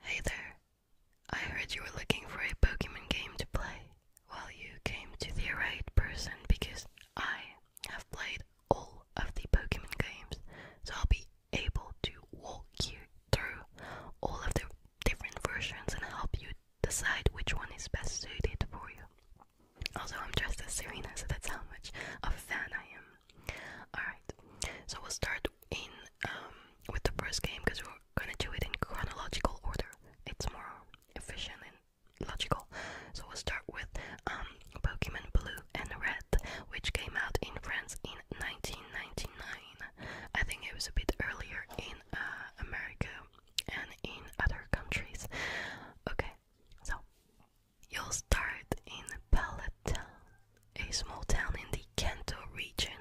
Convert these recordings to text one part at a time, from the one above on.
Hey there. I heard you were looking for a Pokemon game to play. Well, you came to the right person because I have played all of the Pokemon games, so I'll be able to walk you through all of the different versions and help you decide which one is best suited for you. Also, I'm dressed as Serena, so that's how much of a fan I am. Alright, so we'll start in um, with the first game because we're gonna do it in chronological order. It's more efficient and logical. So we'll start with um, Pokemon Blue and Red, which came out in France in 1999. I think it was a bit earlier in uh, America and in other countries. Okay, so, you'll start in Pallettown, a small town in the Kanto region,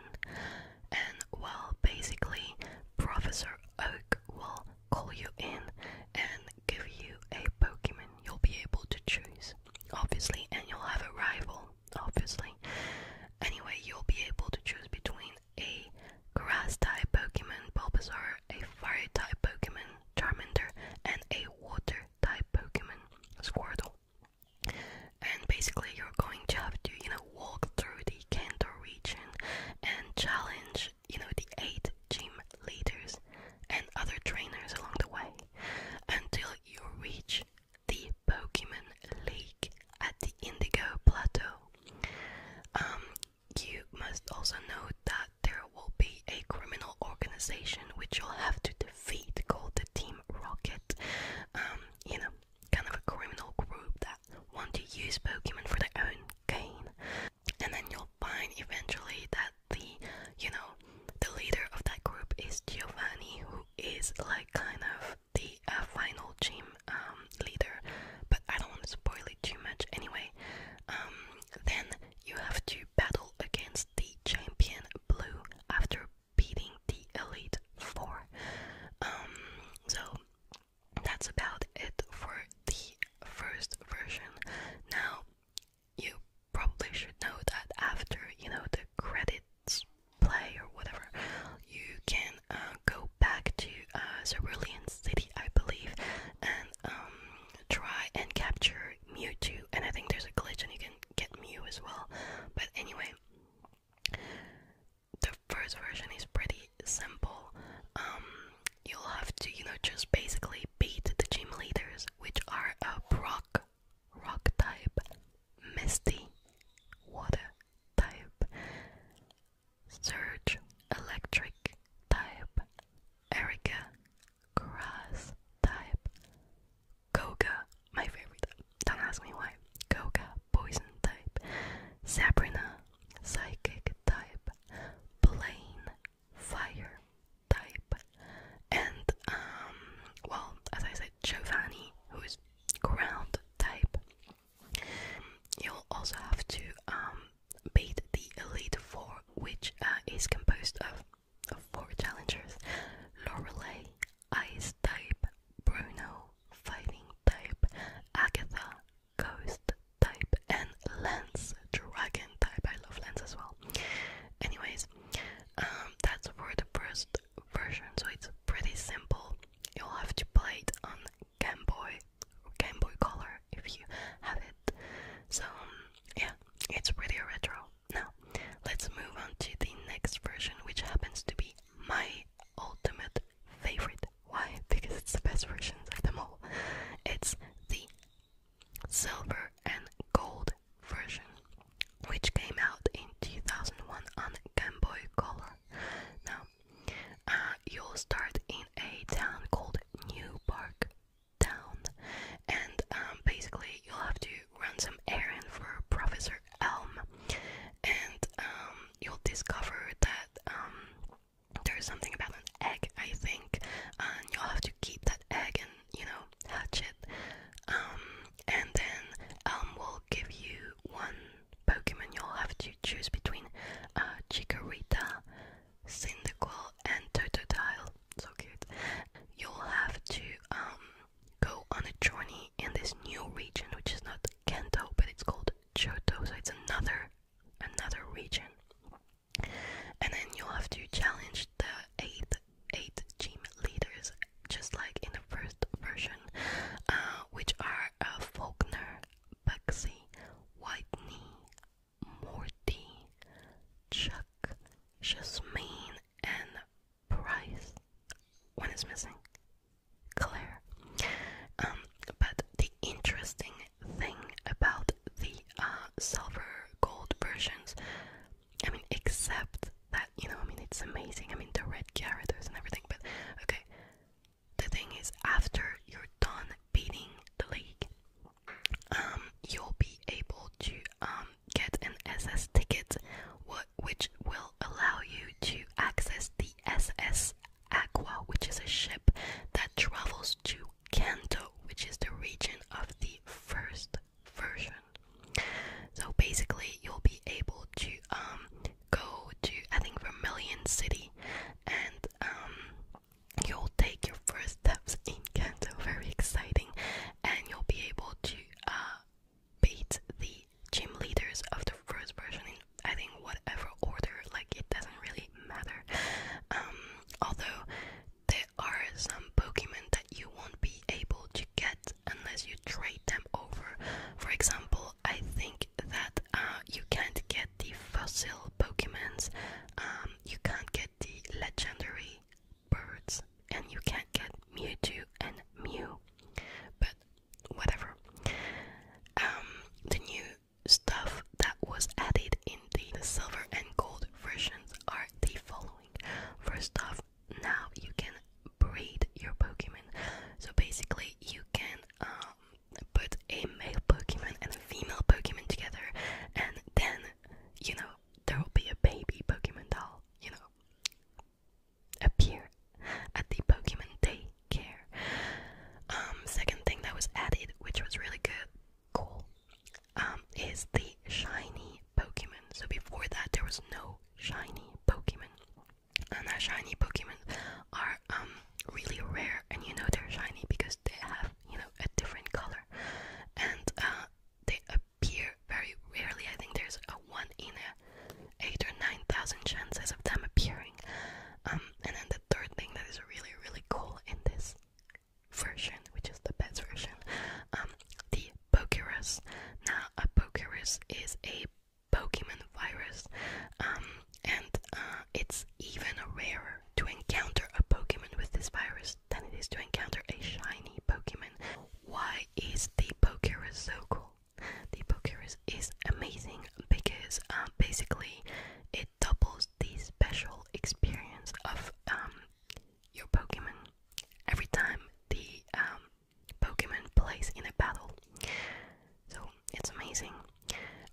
and well, basically, Professor Oak will call you in and give you a Pokemon you'll be able to choose, obviously, and you'll have a rival, obviously. Anyway, you'll be able to choose between a Grass-type Pokemon Bulbasaur, a Fire-type Pokemon Charmander, and a Water-type Pokemon Squirtle. And basically, you're going to have to, you know, walk through the Kanto region and challenge, you know, the eight gym leaders and other trainers along the way until you reach the Pokemon League at the Indigo Plateau. Um, you must also know that there will be a criminal organization which you'll have to defeat called the Team Rocket. Um, you know, kind of a criminal group that want to use Pokemon for their own gain. And then you'll find eventually that the, you know, the leader of that group is Giovanni, who is like kind of the uh, final team um, leader. But I don't want to spoil it too much anyway. Um, then you have to battle against the champion blue after beating the elite four. Um, so that's about it for the first version. Now you probably should know that after you know the credits play or whatever, you can uh, go back to uh, Cerulean City, I believe, and um, try and capture Mewtwo, and I think there's a glitch and you can get Mew as well. But anyway, the first version is pretty simple. Um, you'll have to, you know, just basically beat the gym leaders, which are a rock, rock type, misty, water type, Surge Electric type, Erica Grass type, Koga, my favorite, don't ask me why, Koga Poison type, Sabrina Psychic type, Blaine Fire type, and um, well, as I said, Giovanni, who is ground type. You'll also have to um beat the Elite Four, which uh, is composed of, four challengers Lorelei, Ice type, Bruno, Fighting type, Agatha, Ghost type, and Lance, Dragon type. I love Lance as well. Anyways, um, that's for the first version, so it's pretty simple. You'll have to play it on Game Boy Game Boy Color if you have it. So, um, yeah, it's pretty retro. Now, let's move on to the next version, which happens to be my ultimate favorite. Why? Because it's the best version of them all. It's the silver and gold version, which came out in 2001 on Game Boy Color. Now, uh, you'll start in a town called New Park, down, and um, basically you'll have to run some errands for Professor Elm, and um, you'll discover that um, there's something about an egg, I think, and you'll have to keep that egg and you know hatch it, um, and then um, we will give you one Pokemon. You'll have to choose between uh, Chikorita Cyndaquil and Totodile. So cute. You'll have to um go on a journey in this new region which is not Kanto but it's called Johto, so it's another another region. And then you'll have to challenge the eight eight gym leaders just like in the first version, uh, which are uh, Faulkner, Bugsy, White Knee, Morty, Chuck, Jasmine, and Price. What is missing. Claire. Um, but the interesting thing about the uh, silver gold versions, I mean, except that, you know, I mean, it's amazing. I mean, the red characters and everything, but okay. The thing is, after you're done beating the league, um, you'll be able to um, get an SS ticket, which will allow you to access the SS Aqua, which is a ship that travels to Kanto, which is the region of the first version. So basically, you'll be able to um, go to I think Vermilion City and um, you'll take your first steps in Kanto, very exciting, and you'll be able to uh, beat the gym leaders of the first version in, I think, whatever order, like it doesn't really matter. Um, although there are some Pokemon that you won't be able to get unless you trade them over. For example, I think that uh, you can't get the fossil Pokemons, um, you can't get the legendary birds, and you can't get Mewtwo and Mew. But whatever. Um, the new stuff that was added in the silver and gold versions are the following. First off, now you can breed your Pokemon. So basically, you can um, put a male Pokemon and a female Pokemon together, and then you know, there will be a baby Pokemon doll, you know, appear at the Pokemon Day um, second thing that was added, which was really good, cool, um, is the shiny Pokemon. So before that, there was no shiny Pokemon, and our shiny Pokemon are um, really rare, and you know they're shiny because they have you know, a different color, and uh, they appear very rarely. I think there's a one in a eight or nine thousand chances of them appearing. Um, and then the third thing that is really really cool in this version, which is the best version, um, the Pokerus. Now, a Pokerus is a Pokemon virus, um, and uh, it's even rarer to encounter a Pokemon with this virus than it is to encounter a shiny Pokemon. Why is the Pokera so cool? The Pokera is amazing because um, basically it doubles the special experience of um, your Pokemon every time the um, Pokemon plays in a battle. So it's amazing.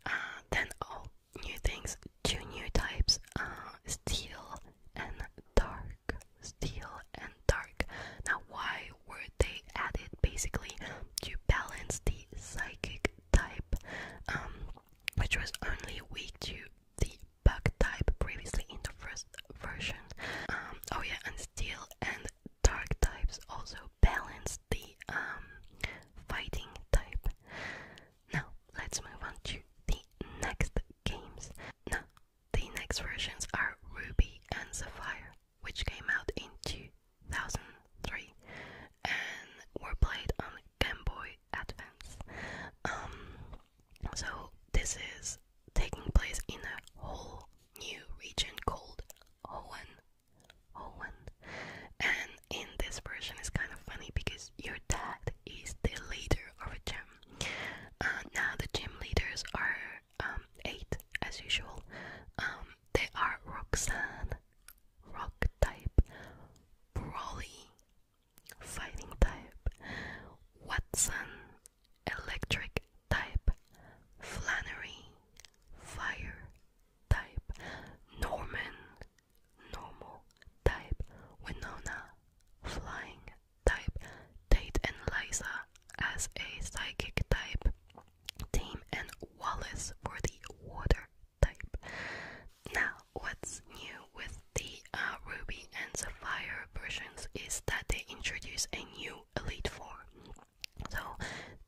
Uh, then, oh, new things, two new types, uh, steel and dark. Steel and dark. Now, why were they added? Basically, to balance the psychic type, um, which was only weak to the bug type previously in the first version. Um, oh yeah, and steel and dark types also balance the um, fighting type. Now, let's move on to the next games. Now, the next versions are Ruby and Sapphire, which came out in 2003 and were played on Game Boy Advance. Um, so, this is taking place in a whole new region called Hoenn. Owen, and in this version is kind of funny because your dad is the leader of a gym. Uh, now the gym leaders are um, eight as usual. Um, they are Roxanne, Rock type, Broly, Fighting type, Watson, Electric type, Flannery, Fire type, Norman, Normal type Winona, flying type Tate and Liza as a psychic type, Team and Wallace for the water type. Now, what's new with the uh, Ruby and Sapphire versions is that they introduce a new Elite Four. So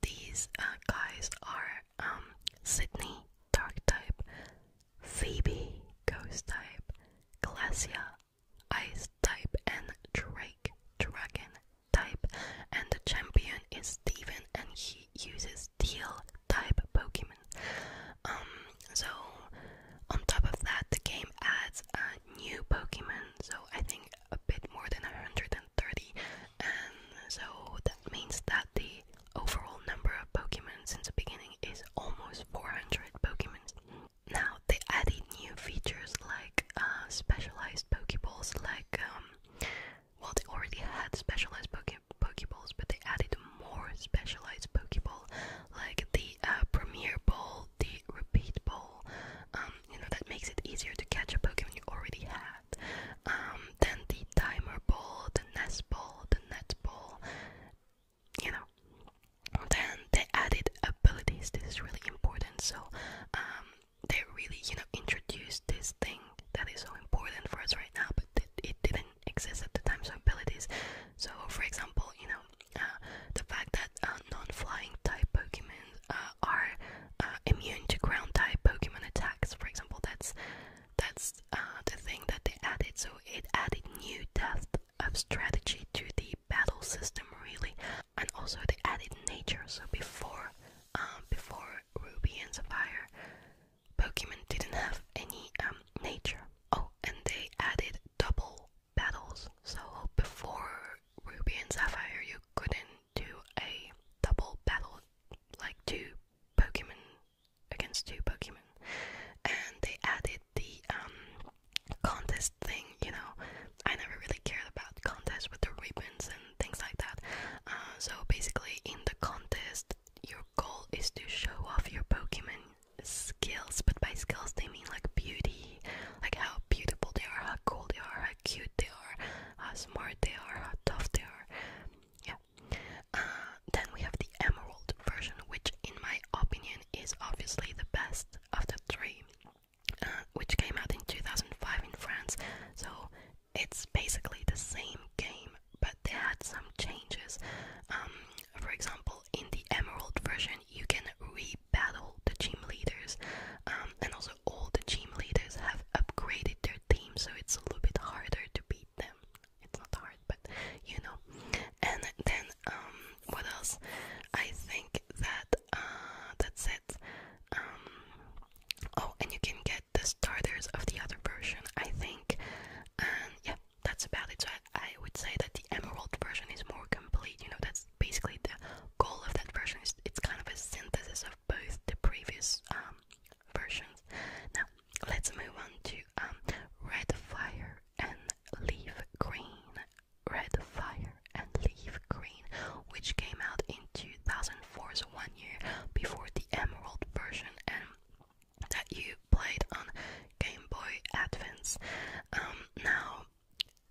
these uh, guys are um, Sydney, Dark type, Phoebe, Ghost type, Glacia, Ice type, and Drake, Dragon type. And the champion is Steven, and he uses Steel type Pokemon. Um, so on top of that, the game adds a new Pokemon. So I think a bit more than 130, and so that means that the the overall number of Pokemon since the beginning is almost 400 Pokemon. Now they added new features like uh, specialized Pokeballs, like um, well they already had specialized poke Pokeballs, but they added more specialized Pokeball, like the uh, Premier Ball, the Repeat Ball. Um, you know that makes it easier to catch a Pokemon you already had. Um, then the Timer Ball, the Nest Ball, the Net Ball you know. Then they added abilities. This is really important. So um, they really, you know, introduced this thing that is so important for us right now, but it, didn't exist at the time. So abilities. So for example, you know, uh, the fact that uh, non-flying type Pokemon uh, are immune to ground type Pokemon attacks. For example, that's that's uh, the thing that they added. So it added new depth of strategy to the battle system, really, and also they added nature. So before, um, before Ruby and Sapphire, Pokemon didn't have any um, nature. Oh, and they added double battles. So before Ruby and Sapphire, you couldn't do a double battle like two Pokemon against two Pokemon, and they added the um contest thing. You know, I never really cared about contests with the ribbons and things like that. Uh, so basically, in the contest, your goal is to show off your Pokemon skills, but by skills they mean like beauty, like how beautiful they are, how cool they are, how cute they are, how smart they are, how tough they are. Yeah, uh, then we have the emerald version, which, in my opinion, is obviously the best of the three, uh, which came out in 2005 in France. So it's basically the same game, but they had some changes. Um, for example, in the emerald version, you can re-battle the team leaders, um, and also all the team leaders have upgraded their team, so it's a little bit harder to beat them it's not hard, but you know. And then um, what else? I think that uh, that's it. Um, oh, and you can get the starters of the other version, I think. And yeah, that's about it. So I, I would say that the Emerald version is more complete. You know, that's basically the goal of that version. Is it's kind of a synthesis of both the previous um, versions. Now, let's move on to um, red fire and leaf green. Red fire and leaf green, which came out in 2004, so one year before the emerald version, and that you played on Game Boy Advance. Um, now,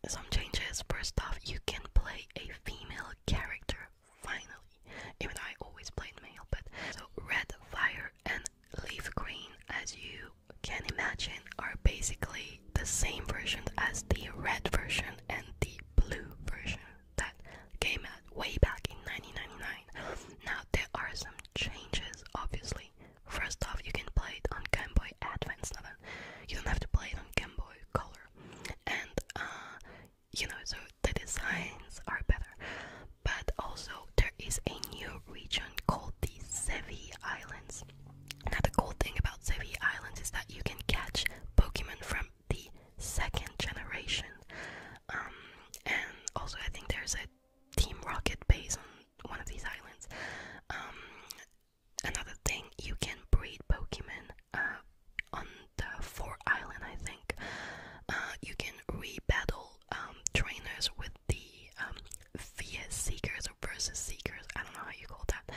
some changes. First off, you can play a female character finally. Even though I always played male, but so red fire and leaf green, as you can imagine, are basically the same version as the red version and the blue version that came out way back in 1999. Now, there are some changes, obviously. First off, you can play it on Game Boy Advance, now You don't have to play it on Game Boy Color. And, uh, you know, so the designs are better. But also, there is a new region called the Sevi Islands. Now, the cool thing about Sevi Islands is that you can catch Pokemon from the second generation. Um, and also, I think there's a Team Rocket base on one of these islands. Um, another thing, you can breed Pokemon uh, on the four island, I think. Uh, you can re battle um, trainers with the um, Fiat Seekers or Versus Seekers, I don't know how you call that.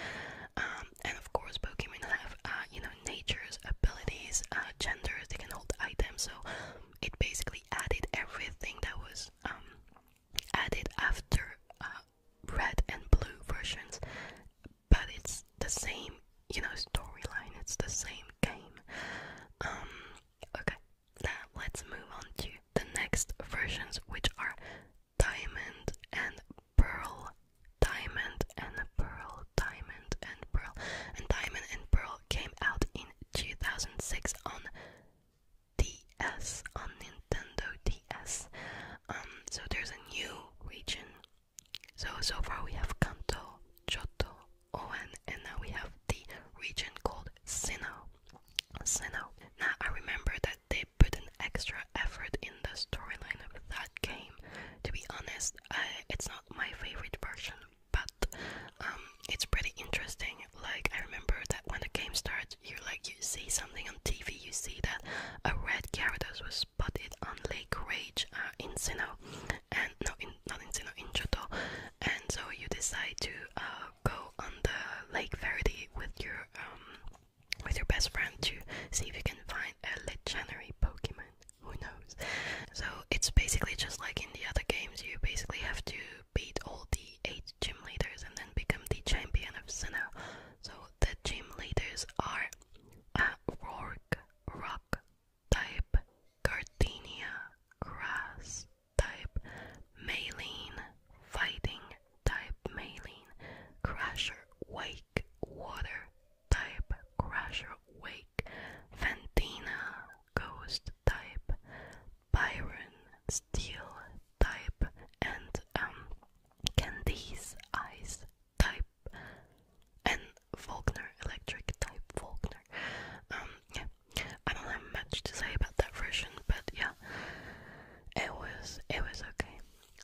Um, and of course, Pokemon have, uh, you know, natures, abilities, uh, genders, they can hold items, so it basically added everything that was um, added after uh, red and blue versions, but it's the same, you know, storyline, it's the same game. Okay, now let's move on to the next versions, which are diamond and pearl, diamond and pearl, diamond and pearl. And diamond and pearl came out in 2006 on DS, on Nintendo DS. Um, so there's a new region. So, so far we have Kanto, Johto, Owen, and now we have the region called Sinnoh. Sinnoh. Now I remember that they put an extra effort in the storyline of that game. To be honest, it's not my favorite version, but um, it's pretty interesting. Like I remember that when the game starts, you like you see something on TV, you see that a red Gyarados was spotted on Lake Rage uh, in Sinnoh, and no, in, not in Sinnoh, in Johto, and so you decide to uh, go on the Lake Verity with your um with your best friend to see if you can find a legendary Pokemon. Who knows? So it's basically just like in the other games. You basically have to beat all the eight gym leaders and then become the champion of Sinnoh. So the gym leaders are uh, Rourke, Rock, Type, Gardenia, Grass, type Maline, Fighting type Maline, Crasher Wake, Water type Crasher Wake, Fantina, Ghost type, Byron, Steel type, and um, Candice Ice type, and Faulkner, Electric type Faulkner. Um, I don't have much to say about that version, but yeah, it was it was okay.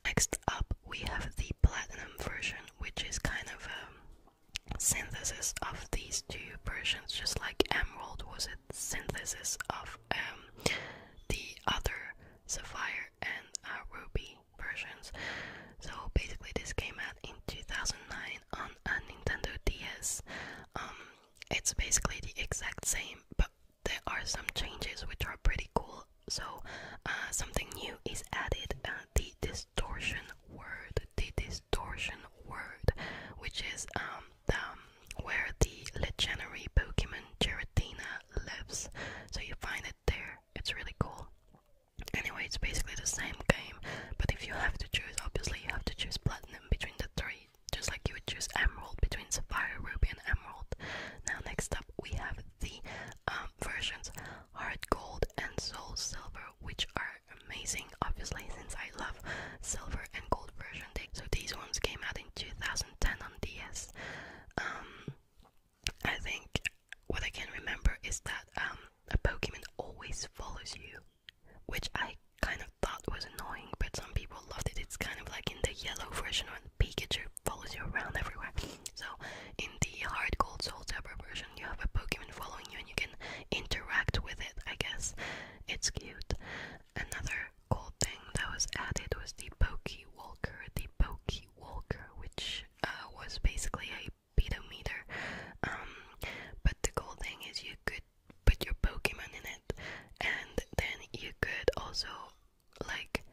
Next up, we have the platinum version, which is kind of a synthesis of these two versions, just like Emerald was a synthesis of um, the other Sapphire and uh, Ruby versions. So basically, this came out in 2009 on a Nintendo DS. Um, it's basically the exact same, but there are some changes which are pretty cool. So, uh, something new is added uh, the distortion word, the distortion word, which is um, um, where the legendary Pokemon Giratina lives. So, you find it there, it's really cool. Anyway, it's basically the same game, but if you have to choose, obviously, you have to choose Platinum between the three just like you would choose emerald between sapphire, ruby, and emerald. Now, next up, we have the um, versions hard gold and soul silver, which are amazing, obviously, since I love silver and gold version. So, these ones came out in 2010 on DS. Um, I think what I can remember is that um, a Pokemon always follows you which I kind of thought was annoying, but some people loved it. It's kind of like in the yellow version when Pikachu follows you around everywhere. So in the hard, Gold Soul Silver version, you have a Pokemon following you and you can interact with it. I guess it's cute. Another cool thing that was added was the Poke Walker. The Poke Walker, which uh, was basically a pedometer. Um, but the cool thing is you could put your Pokemon in it, and then you could also like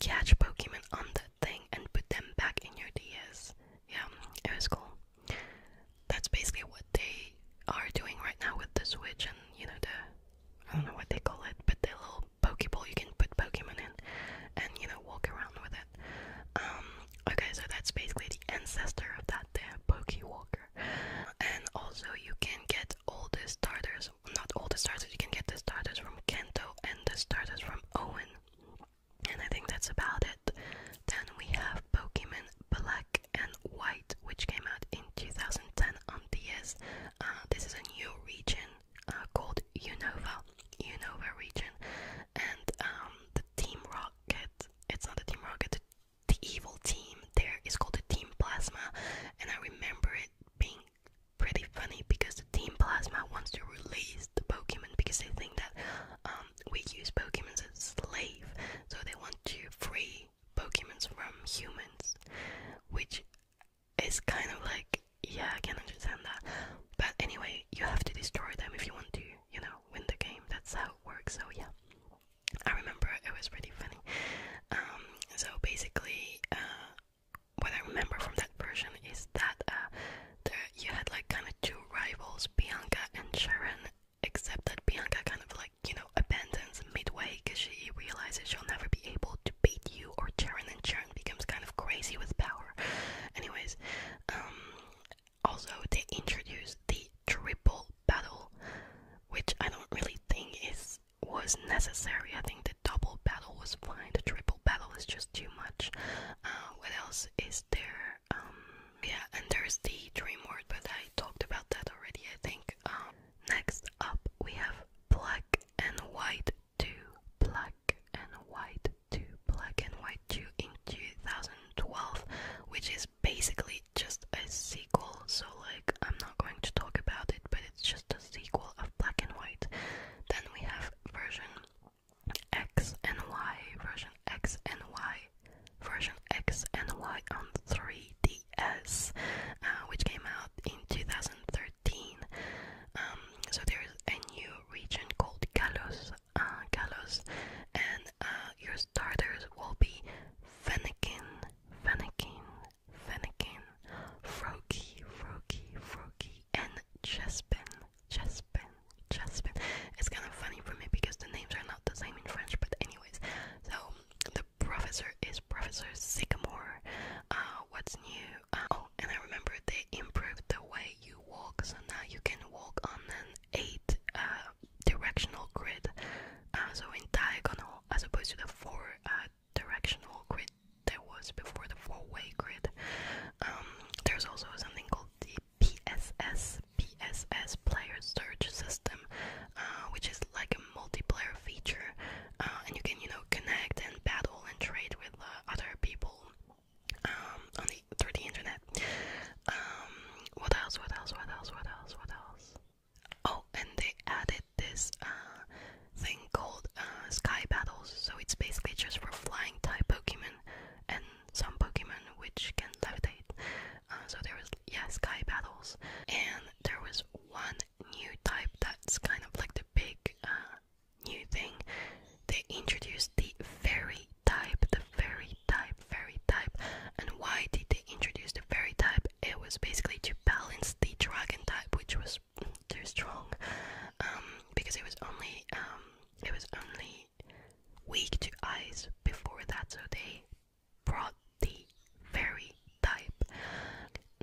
catch Pokemon on the thing and put them back in your DS. Yeah, it was cool. That's basically what they are doing right now with the Switch and you know the I don't know what they call it, but the little Pokeball you can put Pokemon in and you know walk around with it. Um, okay, so that's basically the ancestor of that there Pokewalker and also you can get all the starters not all the starters you can get the starters from Kento and the starters from Owen and I think that's about it then we have Pokemon Black and White which came out in 2010 on DS uh, this is a new region uh, called Unova Unova region and um, the Team Rocket it's not a Team Rocket the evil team there is called the Team Plasma, and I remember it being pretty funny because the Team Plasma wants to release the Pokemon because they think that um, we use Pokemon as slaves, so they want to free Pokemon from humans, which is kind of like, yeah, I can understand that. But anyway, you have to destroy them if you want to, you know, win the game. That's how it works, so yeah. I remember it was pretty funny. Um, so basically, uh, what I remember from that version is that uh, there you had like kind of two rivals, Bianca and Sharon, except that Bianca kind of like you know abandons midway because she realizes she'll never be able to beat you or Sharon, and Sharon becomes kind of crazy with power. Anyways, um, also they introduced the triple battle, which I don't really think is was necessary. I think the double battle was fine. The triple battle is just too much. Uh, what else is there? Um, yeah, and there's the dream word, but I talked about that already. I think. Um, next up, we have black and white two, black and white two, black and white two in 2012, which is basically just a sequel, so like I'm not going to talk about it, but it's just a sequel of Black and White. Then we have version X and Y, version X and Y, version X and Y on 3DS, uh, which came out in 2013. Um, so there is a new region called Galos, uh, Galos, and uh, your starters will be Fennekin, Fennekin, Fennekin, Froakie, Froakie, Froakie, and Chespin, Chespin, Chespin. It's kind of funny for me because the names are not the same in French, but anyways. So the professor is Professor Sycamore. Uh, what's new? Uh, oh, and I remember they improved the way you walk, so now you can walk on an eight directional grid, uh, so in diagonal as opposed to the four uh, directional grid there was before the four-way grid. Um, there's also something called the PSS PSS player search system, uh, which is like a multiplayer feature, uh, and you can you know connect and battle and trade with other people um, on the through the internet. Um, what else? What else? What else? What else? What else? Oh, and they added this uh, thing called uh, Sky Battles, so it's basically just for flying type Pokemon and some Pokemon which can levitate. Uh, so there was yeah Sky Battles, and there was one new type that's kind of like the big new thing. They introduced the Fairy type, the Fairy type, Fairy type, and why did they introduce the Fairy type? it was basically to balance the dragon type, which was too strong, um, because it was only um, it was only weak to ice before that, so they brought the fairy type.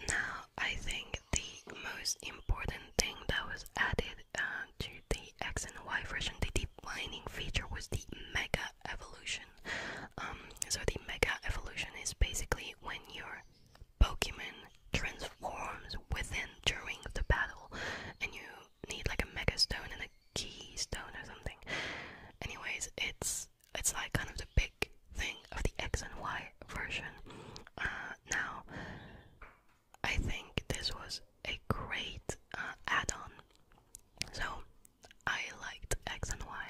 Now, I think the most important thing that was added uh, to the X and Y version, the defining feature, was the mega evolution. Um, so the mega evolution is basically when your Pokemon transforms within during the battle, and you need like a mega stone and a Key Stone or something. Anyways, it's it's like kind of the big thing of the X and Y version. Uh, now, I think this was a great uh, add-on. So I liked X and Y.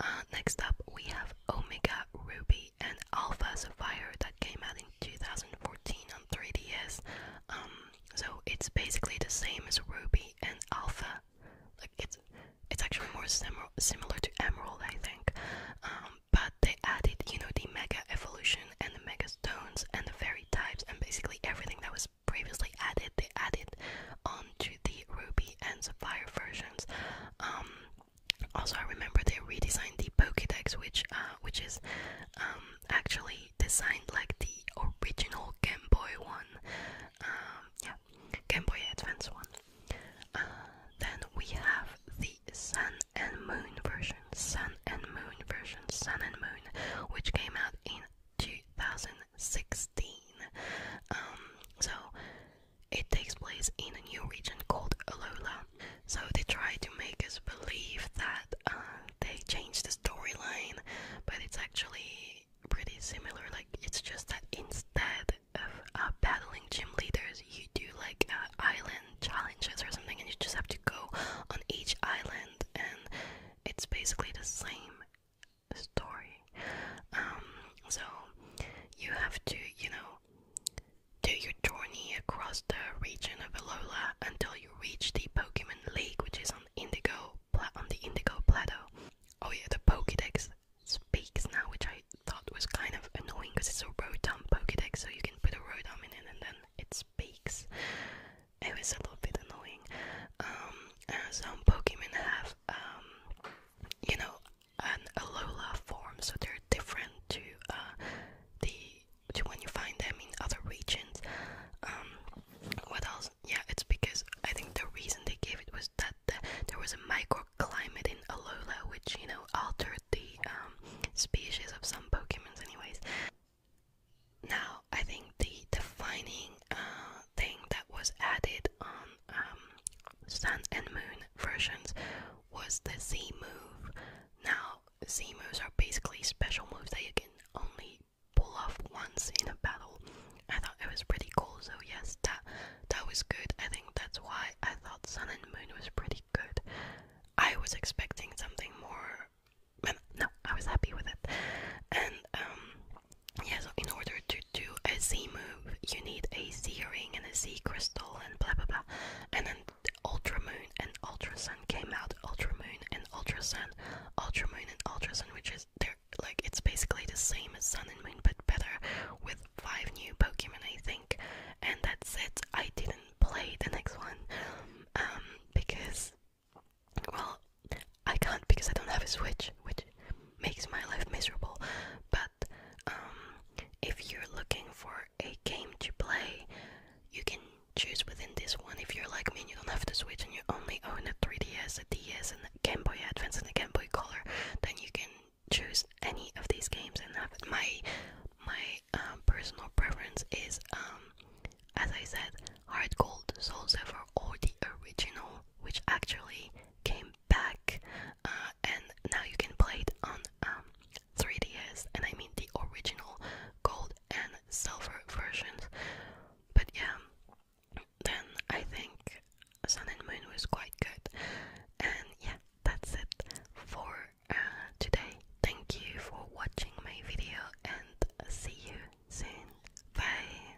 Uh, next up, we have Omega Ruby and Alpha Sapphire that came out in 2014 on 3DS. Um, so it's basically the same as Ruby and Alpha. Like it's it's actually more sim similar to Emerald, I think. Um, but they added, you know, the Mega Evolution and the Mega Stones and the Fairy types and basically everything that was previously added, they added on to the Ruby and Sapphire versions. Um, also, I remember they redesigned the Pokédex, which uh, which is um, actually designed like the original Game Boy one. Um, Game Boy Advance one. Uh, then we have the Sun and Moon version, Sun and Moon version, Sun and Moon, which came out in 2016. Um, so it takes place in a new region called Alola. So they try to make us believe that uh, they changed the storyline, but it's actually pretty similar. Like it's just that instead of uh, battling gym leaders, you do like uh, island challenges or something, and you just have to go on each island, and it's basically the same story. Um, so you have to, you know, do your journey across the region of Alola until you reach the Pokemon League, which is on Indigo on the Indigo Plateau. Oh yeah, the Pokédex speaks now, which I thought was kind of annoying because it's a Rotom Pokédex, so you can put a Rotom in it and then it speaks. It was a little bit annoying. Um, uh, some Pokemon have um, you know, an Alola form, so they're different to uh, the to when you find them in other regions. Um, what else? Yeah, it's because I think the reason they gave it was that there was a microclimate in Alola, which you know altered the um, species of some Pokemons, anyways. Now, I think the defining um, thing that was added on um, Sun and Moon versions was the Z move. Now, Z moves are basically special moves that you can only pull off once in a battle. I thought it was pretty cool, so yes, that that was good. I think that's why I thought Sun and Moon was pretty good. I was expecting something more. No, I was happy with it, and um, yeah, so in order to do a Z move, you need a Z ring and a Z crystal and blah blah blah. And then Ultra and Ultrason came out. Ultra and Ultrason, Sun, and Ultra which is they're like it's basically the same as Sun and Moon but better with five new Pokemon, I think. And that's it. I didn't play the next one um, because, well, I can't because I don't have a Switch, which makes my life miserable. But um, if you're looking for a game to play, you can choose within this one. If you're like me and you don't have the Switch and you only own a 3DS, a DS, and a Game Boy Advance and a Game Boy Color, then you can choose any of these games and have it. My my um, personal preference is, um, as I said, Hard Gold, Soul Silver, or the original, which actually came back uh, and now you can play it on 3DS um, and I mean the original gold and silver versions. But yeah, then I think Sun and Moon was quite good. And yeah, that's it for uh, today. Thank you for watching my video and see you soon. Bye!